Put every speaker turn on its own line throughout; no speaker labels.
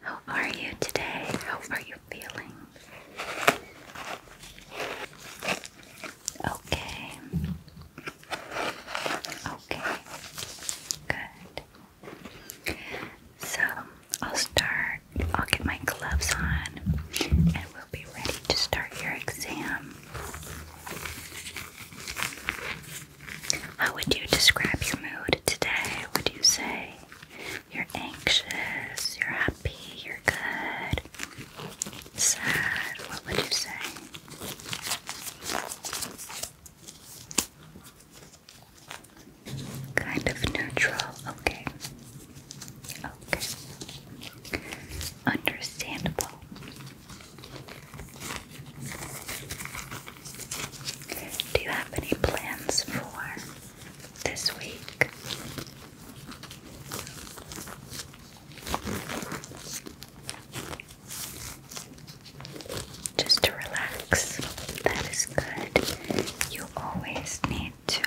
How are you today? How are you feeling? Okay. Okay. Good. So I'll start. I'll get my gloves on and we'll be ready to start your exam. How would you describe your mood today? Would you say you're anxious, you're happy, you're good, sad. What would you say? Kind of neutral. Okay. Okay. Understandable. Do you have any plans for this week? Just to relax. That is good. You always need to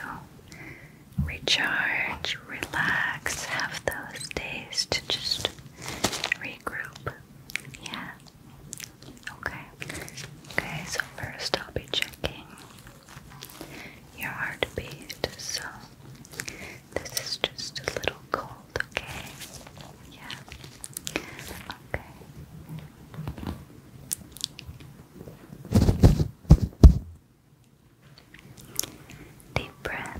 recharge, relax, have those days to just regroup. Yeah. Okay. Okay, so first I'll be checking your heartbeat. So this is just a little cold, okay? Yeah. Okay. Deep breath.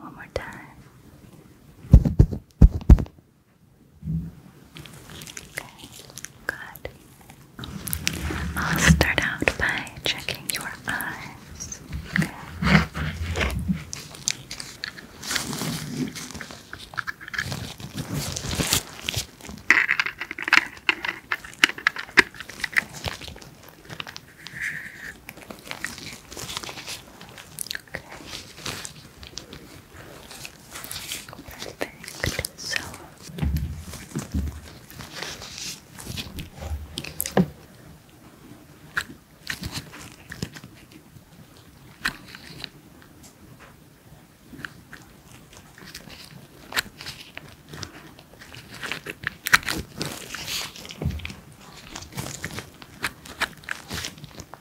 One more time. Okay, good. I'll start out by checking your eyes. Okay. Perfect. So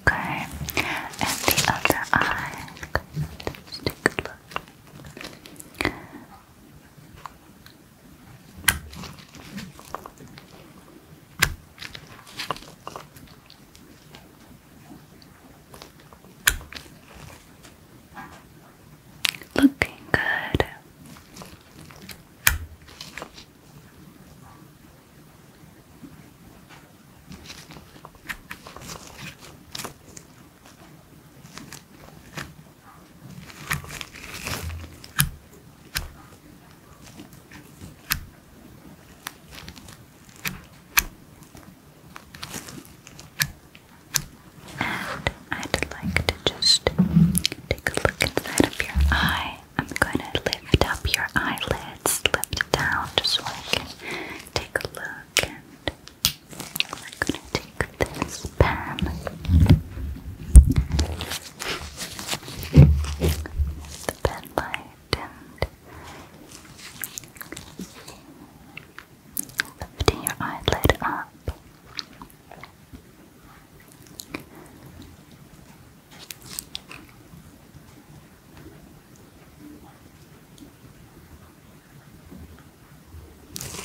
Okay, and the other eye. Let's take a look. Looking good. And I'd like to just take a look inside of your eye. I'm going to lift up your eyelids, lift it down just so I can take a look. And I'm going to take this pen. The pen light and lifting your eyelid up.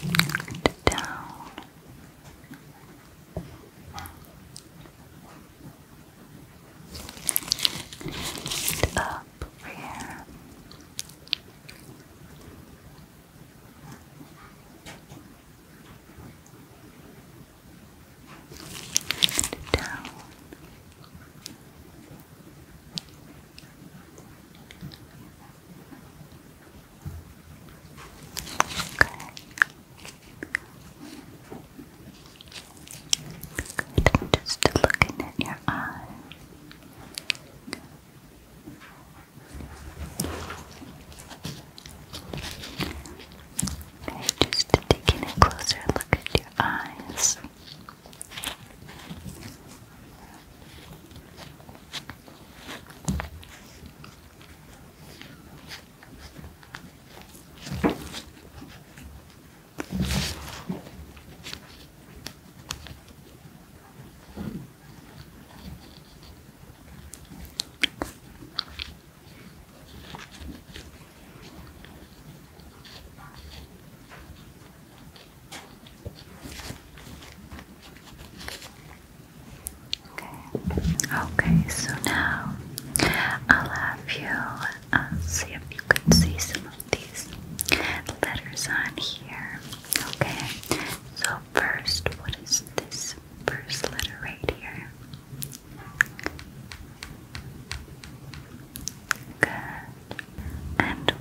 And down. And up over here and down. Good. just looking at your eye. Okay, just taking a closer look at your eyes. Okay, so now I'll have you uh, see if you can see some of these letters on here. Okay, so first, what is this? first letter right here. Good. And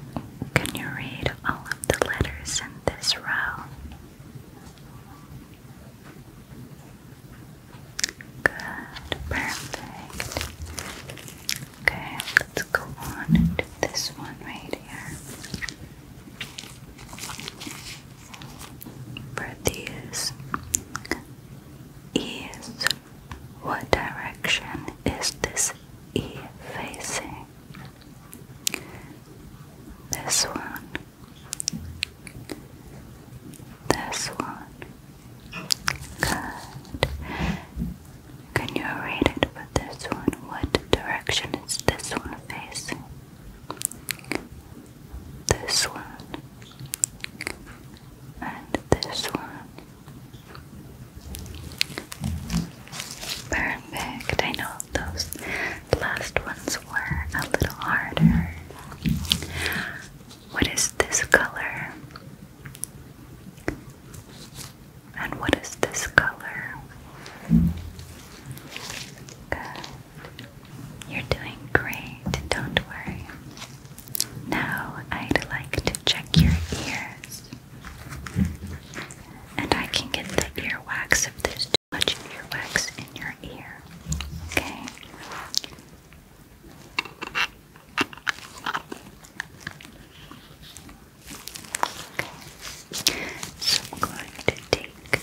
can you read all of the letters in this row? Good, perfect. Okay, let's go on to this one right here produce is what direction is this E facing? This one, this one. Good. Can you read it for this one? What direction is this one facing? this one, and this one. Perfect. I know those last ones were a little harder. What is this color? And what is this color? Good. You're doing great, don't worry. Now I'd like to check your ears. And I can get the earwax if there's too much earwax in your ear. Okay? Okay. So I'm going to take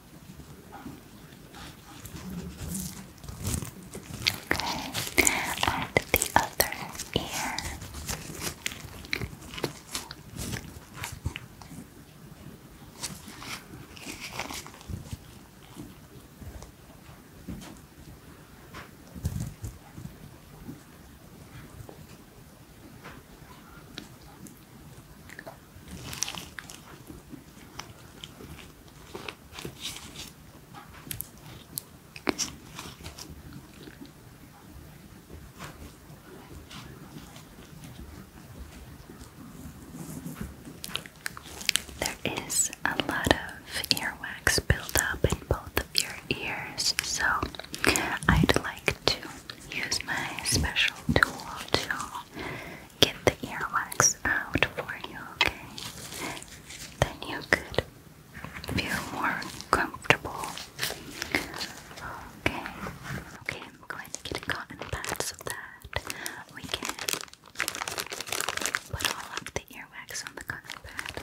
Okay, and the other ear. There is a lot of earwax built up in both of your ears, so I'd like to use my special tool to get the earwax out for you, okay? Then you could feel more comfortable. Okay. Okay, I'm going to get a cotton pad so that we can put all of the earwax on the cotton pad.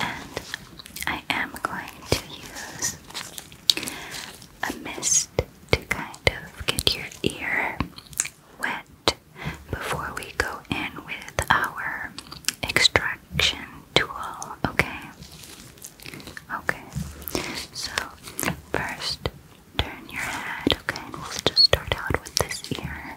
And I am going to use a mist to kind of get your ear wet before we go in with our extraction tool, okay? Okay, so first turn your head, okay? And we'll just start out with this ear.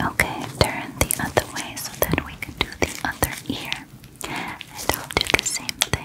Okay, turn the other way so that we can do the other ear. And I'll do the same thing.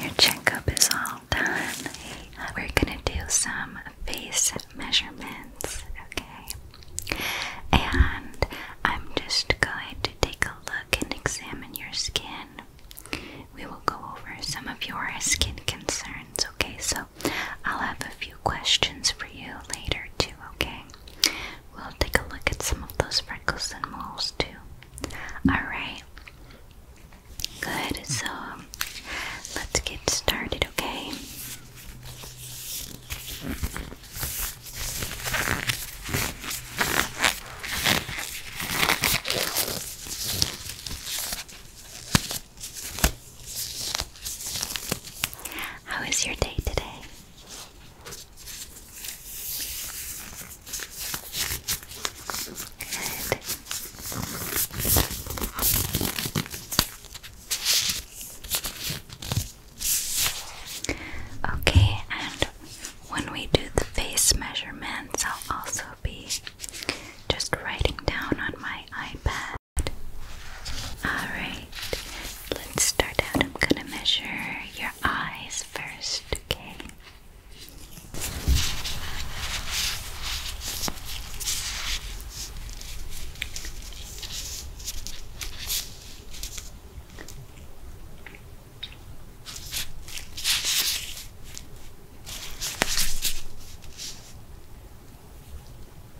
Your checkup is all done. We're gonna do some face measurements, okay? And I'm just going to take a look and examine your skin. We will go over some of your skin concerns, okay? So I'll have a few questions for you later, too, okay? We'll take a look at some of those freckles and moles too. Alright. Good, so um, let's get started, okay? How is your day today? Okay, and when we do the face measurements, I'll also be just writing down on my iPad. Alright, Let's start out. I'm gonna measure your eyes first, okay?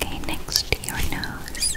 Okay, next to your nose.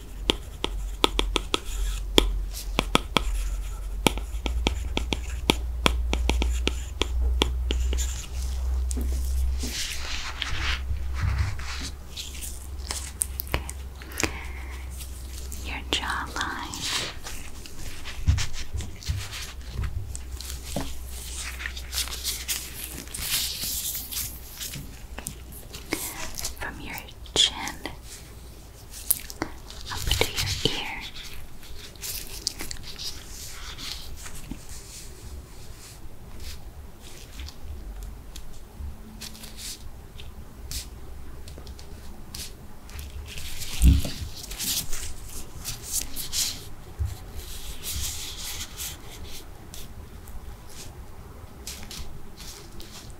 Okay. Your jawline. From your chin up to your ear.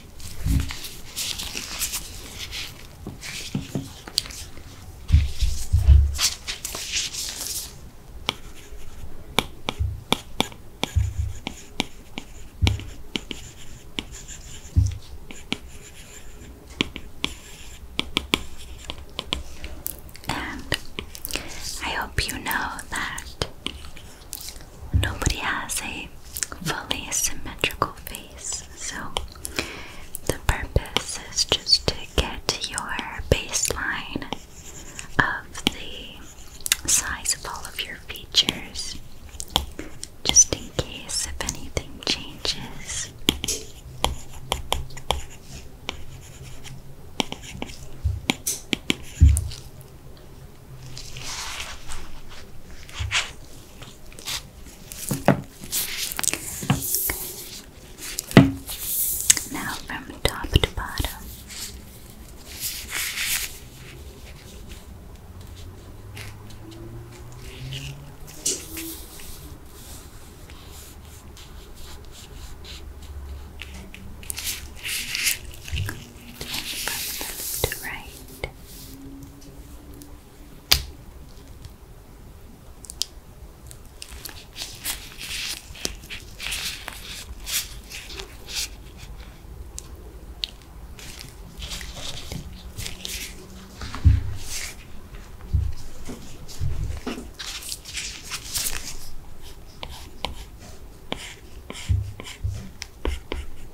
And I hope you know that nobody has a fully symmetrical face, so the purpose is just to get your baseline of the size of all of your features, just in case if anything changes. Now from top to bottom from left to right.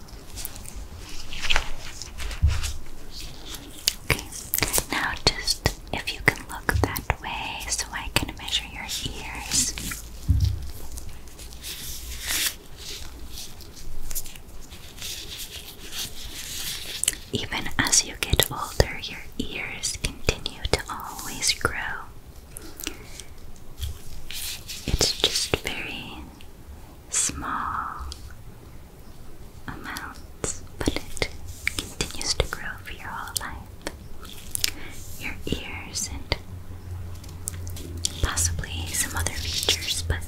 Okay, now just if you can look that way so I can measure your ears. Even as you get older, your ears continue to always grow. It's just very small amounts, but it continues to grow for your whole life. Your ears and possibly some other features, but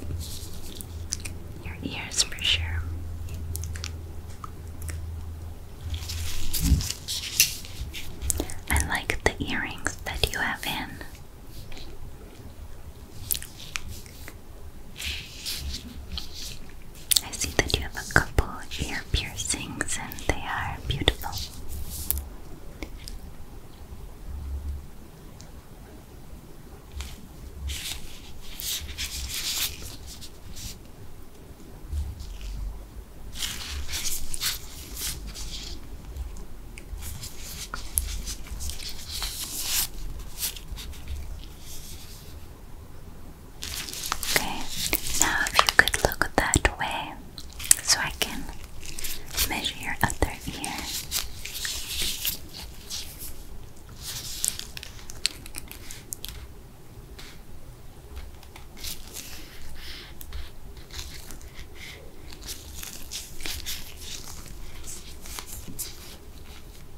your ears for sure. I like the earrings that you have in. I see that you have a couple ear piercings and they are beautiful. Okay, now if you could look that way so I can measure your other ear.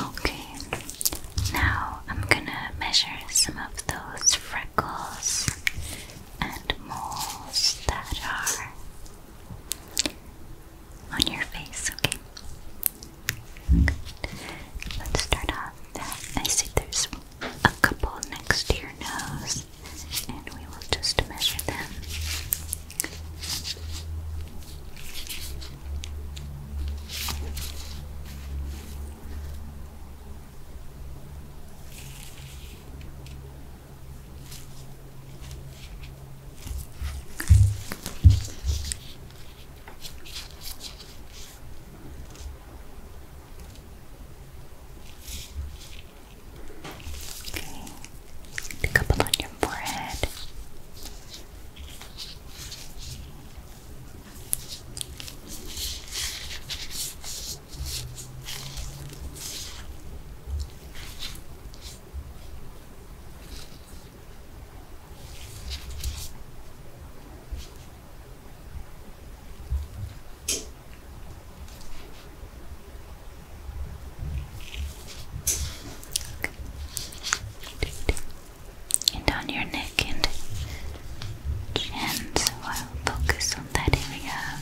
Okay, now I'm gonna measure some of those freckles and moles that are on your face, okay? Let's start off I see there's a couple next to your nose and we will just measure them. Okay. A couple on your forehead. And down your neck and chin, so I'll focus on that area.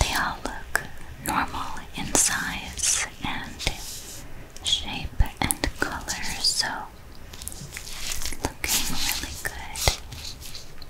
They all look normal in size and shape and color, so looking really good.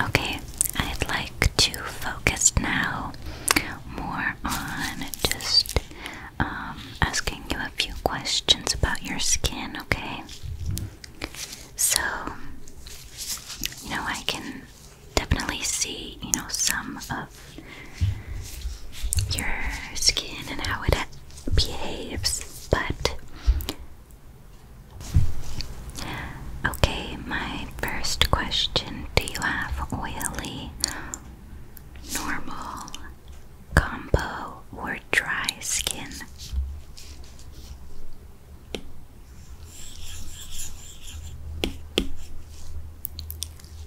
Okay, I'd like to focus now more on just um, asking you a few questions about your skin, okay? So, you know, I can definitely see, you know, some of your skin and how it behaves, but Okay, my first question Do you have oily, normal, combo, or dry skin?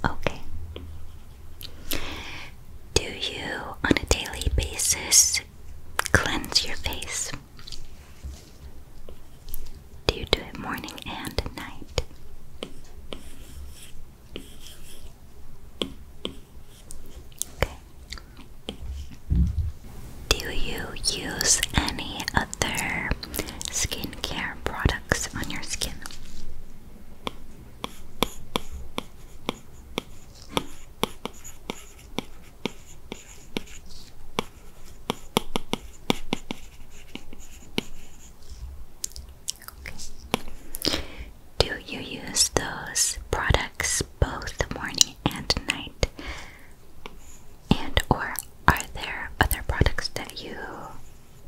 Okay. Do you on a daily basis cleanse your face? Do you do it morning and night? Okay. Do you use any other skincare products on your skin? Do you use those products both morning and night? And or are there other products that you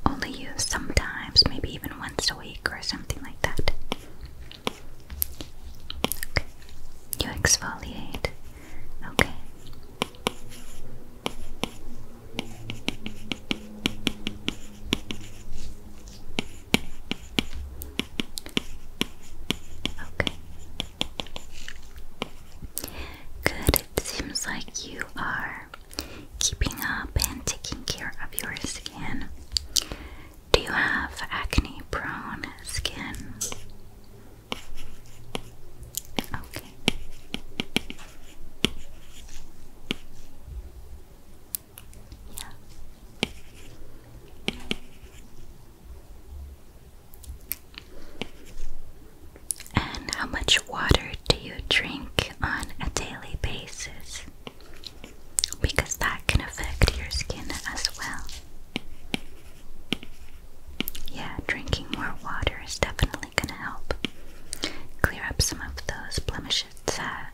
only use sometimes, maybe even once a week or something like that? Okay. You exfoliate. Okay. Okay. Good. It seems like you are keeping up and taking care of your skin. Do you have acne prone skin? Okay. Yeah. And how much water do you drink on a daily basis? Because that can affect your skin as well. Yeah, drinking more water is definitely gonna help clear up some of those blemishes that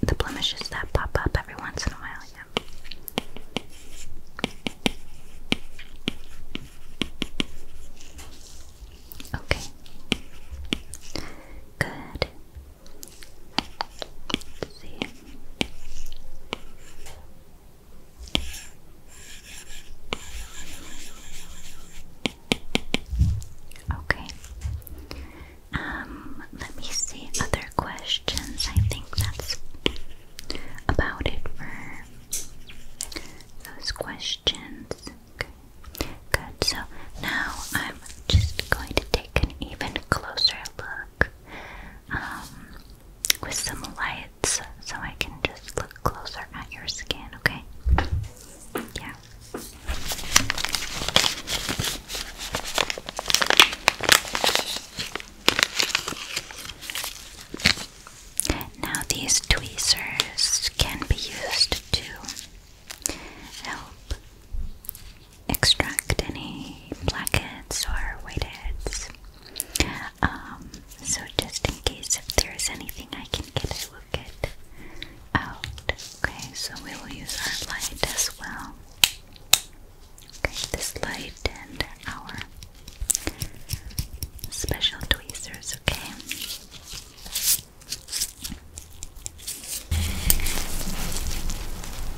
the blemishes that pop up every once in a while. Yeah. Okay. Good. see. Okay. Um, let me see other questions. I think that's about it for those questions. Okay. Good. So now I'm just going to take an even closer look um, with some lights so I can just look closer at your skin, okay? Yeah. Now, these tweezers can be used to help extract any blackheads or whiteheads. Um, so just in case if there's anything I can get, I will get out. Okay, so we will use our light as well. Okay, this light and our special tweezers, okay?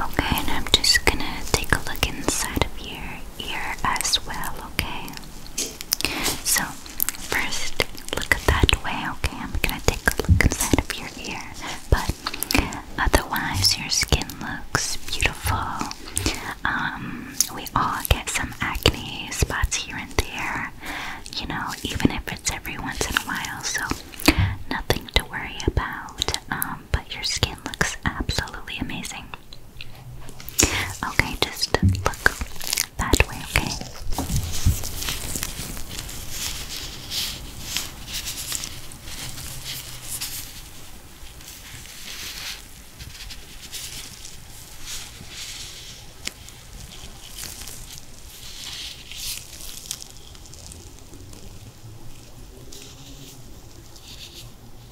Okay, and I'm just gonna take a look inside of here ear as well, okay? So, first, look that way, okay? I'm gonna take a look inside of your ear, but otherwise, your skin looks beautiful. Um, we all get some acne spots here and there, you know, even if it's every once in a while, so nothing to worry about. Um, but your skin looks absolutely amazing. Okay, just look that way, okay?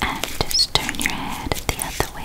And just turn your head the other way.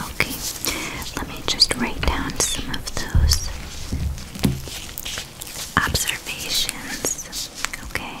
Okay, let me just write down some of those observations. Okay.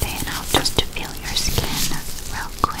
Then I'll just feel your skin real quick.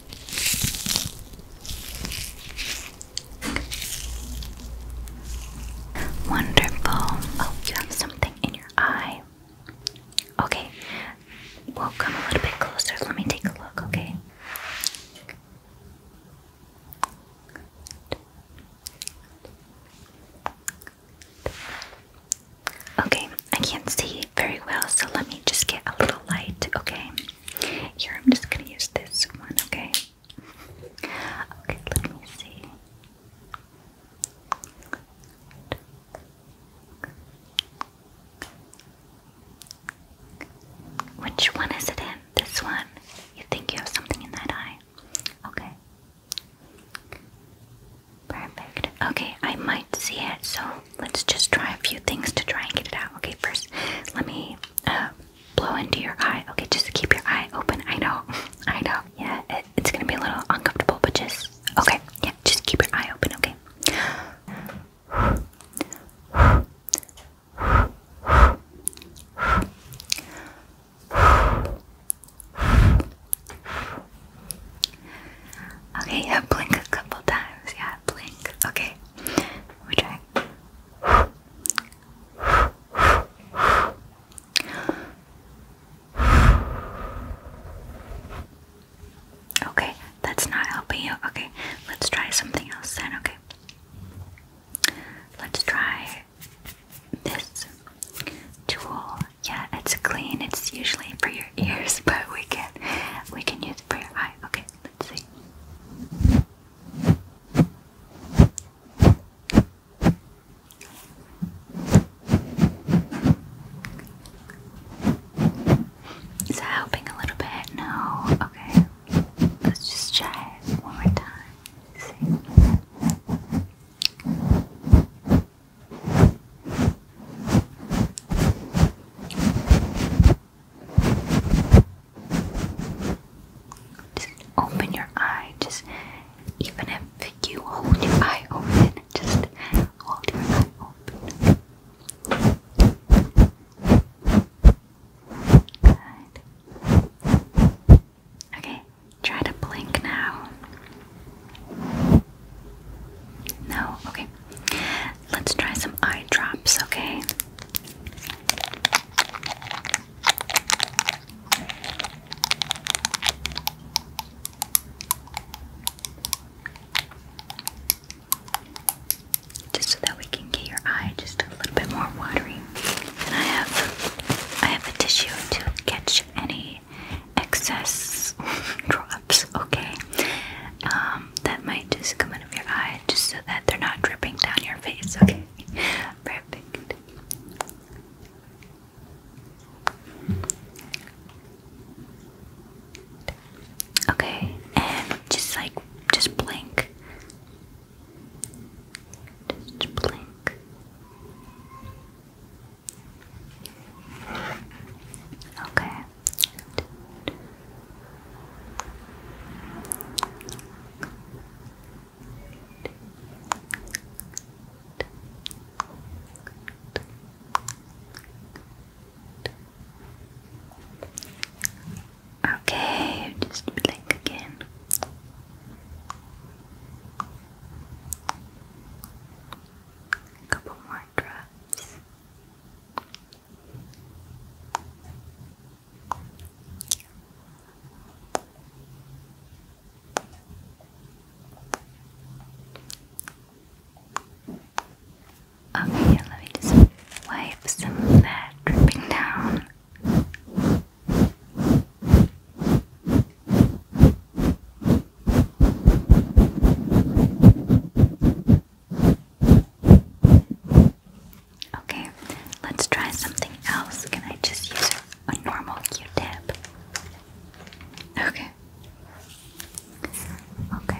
Wonderful. Oh, something in your eye. Okay, we come a little bit closer. Let me take a look, okay? Okay, I can't see very well, so let me just get a little light, okay? Here, I'm just gonna use this one, okay? Okay, let me see. Which one is it in? This one? You think you have something in that eye? Okay. Perfect. Okay, I might see it, so let's just try a few things to try and get it out. Okay, first, let me uh, blow into your eye. Okay, just keep your eye open. I know, I know. Yeah, it's gonna be a little uncomfortable, but just okay. Yeah, just keep your eye open. Okay. Okay, yeah, blink a couple times. Yeah, blink. Okay, we're trying. Okay, that's not helping you. Okay, let's try something else then. Okay, let's try this tool. Yeah, it's clean. It's usually for your ears, but we can we can use it for your eye. Okay, let's see. Is that helping a little bit? No? Okay. Let's just try it one more time. see. Just open your eye. Just even if you hold your eye open, just hold your eye open. Okay, try to blink now. No, okay. Let's try some eye drops, okay? Just so that we can get your eye just a little bit more watery. And I have I have a tissue to catch any excess drops, okay? Um, that might just come out of your eye just so that they're not dripping down your face, okay? Perfect. Okay, and just like, just blink. Just blink. Okay. Okay, just blink again. A couple more drops. Okay, let me just wipe some of that dripping down. Okay, let's try something else. Can I just use a normal Q-tip? Okay. Okay. Okay.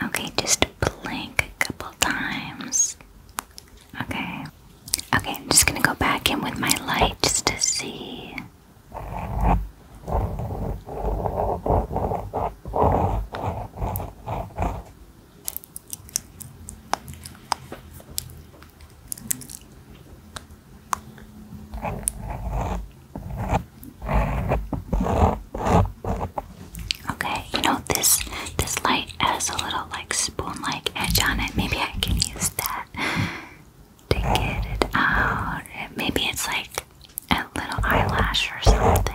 Okay, just blink a couple times. Okay. Okay, I'm just gonna go back in with my light just to see. Okay, you know this this light has a little like spoon-like edge on it. Maybe I can use that to get it out. Maybe it's like a little eyelash or something.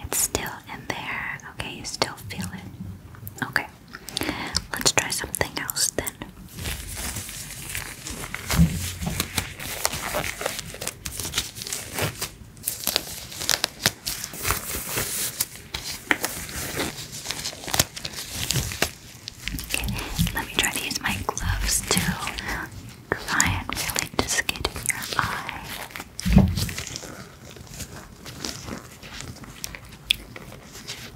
It's still in there. Okay, you still feel it. Okay. Let's try something else then. let me try to use my gloves to try and really just get in your eye.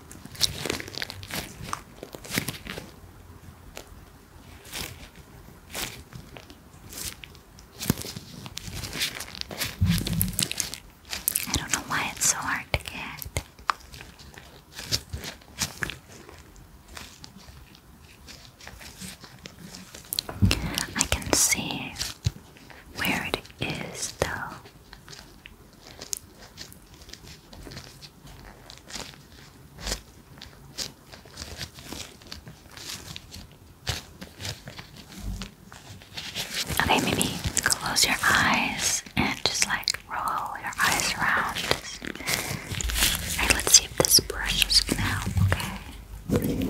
I don't know why it's so hard to get. I can see where it is, though. Okay, maybe close your eyes and just like roll your eyes around. Alright, let's see if this brush is help, okay?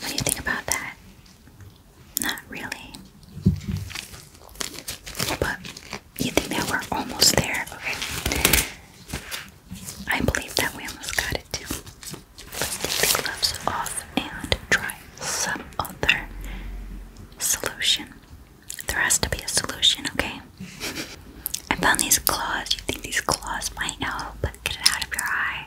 What do you think about that? Not really. But you think that we're almost there? Okay. I believe that we almost got it too. Let's take the gloves off and try some other solution. There has to be a solution, okay? I found these claws. You think these claws might help? Get it out of your eye.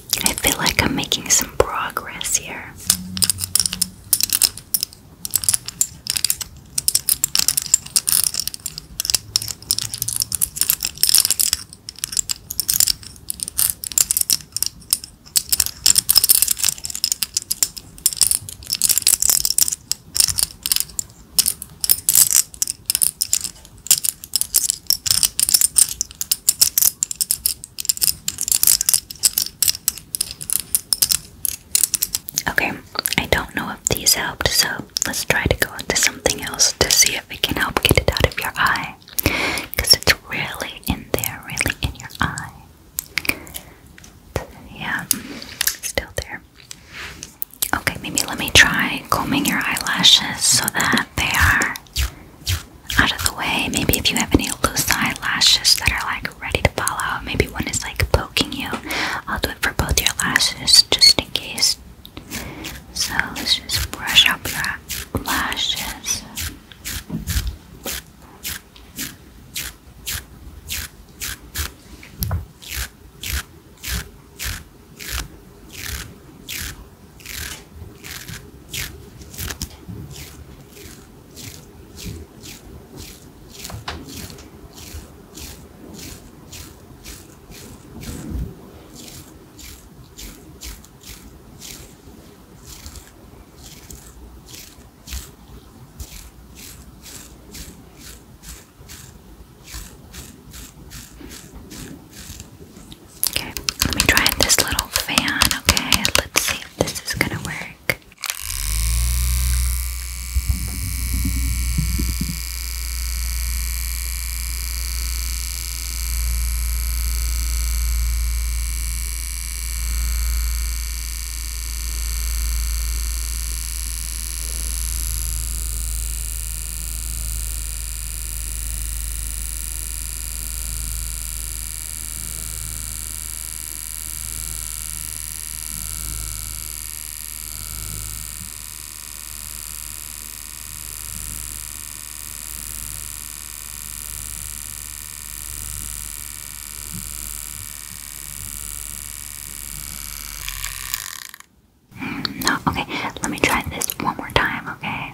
I feel like I'm making some progress here. Okay, I don't know if these helped, so let's try to go into something else to see if we can help get it out of your eye. Because it's really in there, really in your eye. Yeah, still there. Okay, maybe let me try combing your eyelashes so that they are out of the way. Maybe if you have any loose eyelashes that are like ready to fall out, maybe one is like poking you. I'll do it for both your lashes just in case. So let's just brush up your lashes. Okay, let me try this little fan. Okay, let's see this is gonna work. Mm, no, okay, let me try this one more time, okay?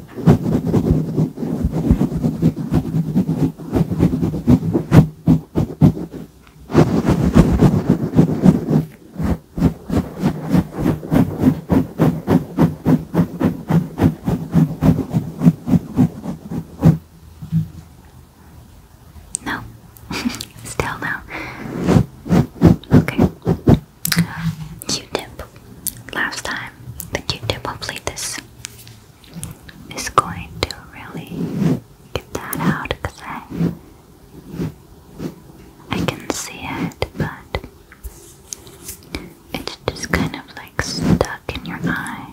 No, still no. Okay. Q-tip. Last time, the Q-tip. Hopefully, this this is going to really get that out because I, I can see it, but it's just kind of like stuck in your eye.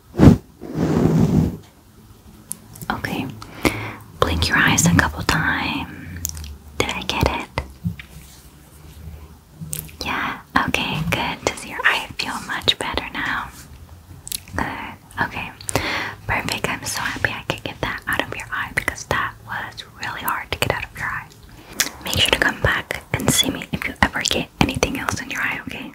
Okay, blink your eyes a couple times. Did I get it? Yeah, okay, good. Does your eye feel much better now? Good, okay, perfect. I'm so happy I could get that out of your eye because that was really hard to get out of your eye. Make sure to come back and see me if you ever get anything else in your eye, okay?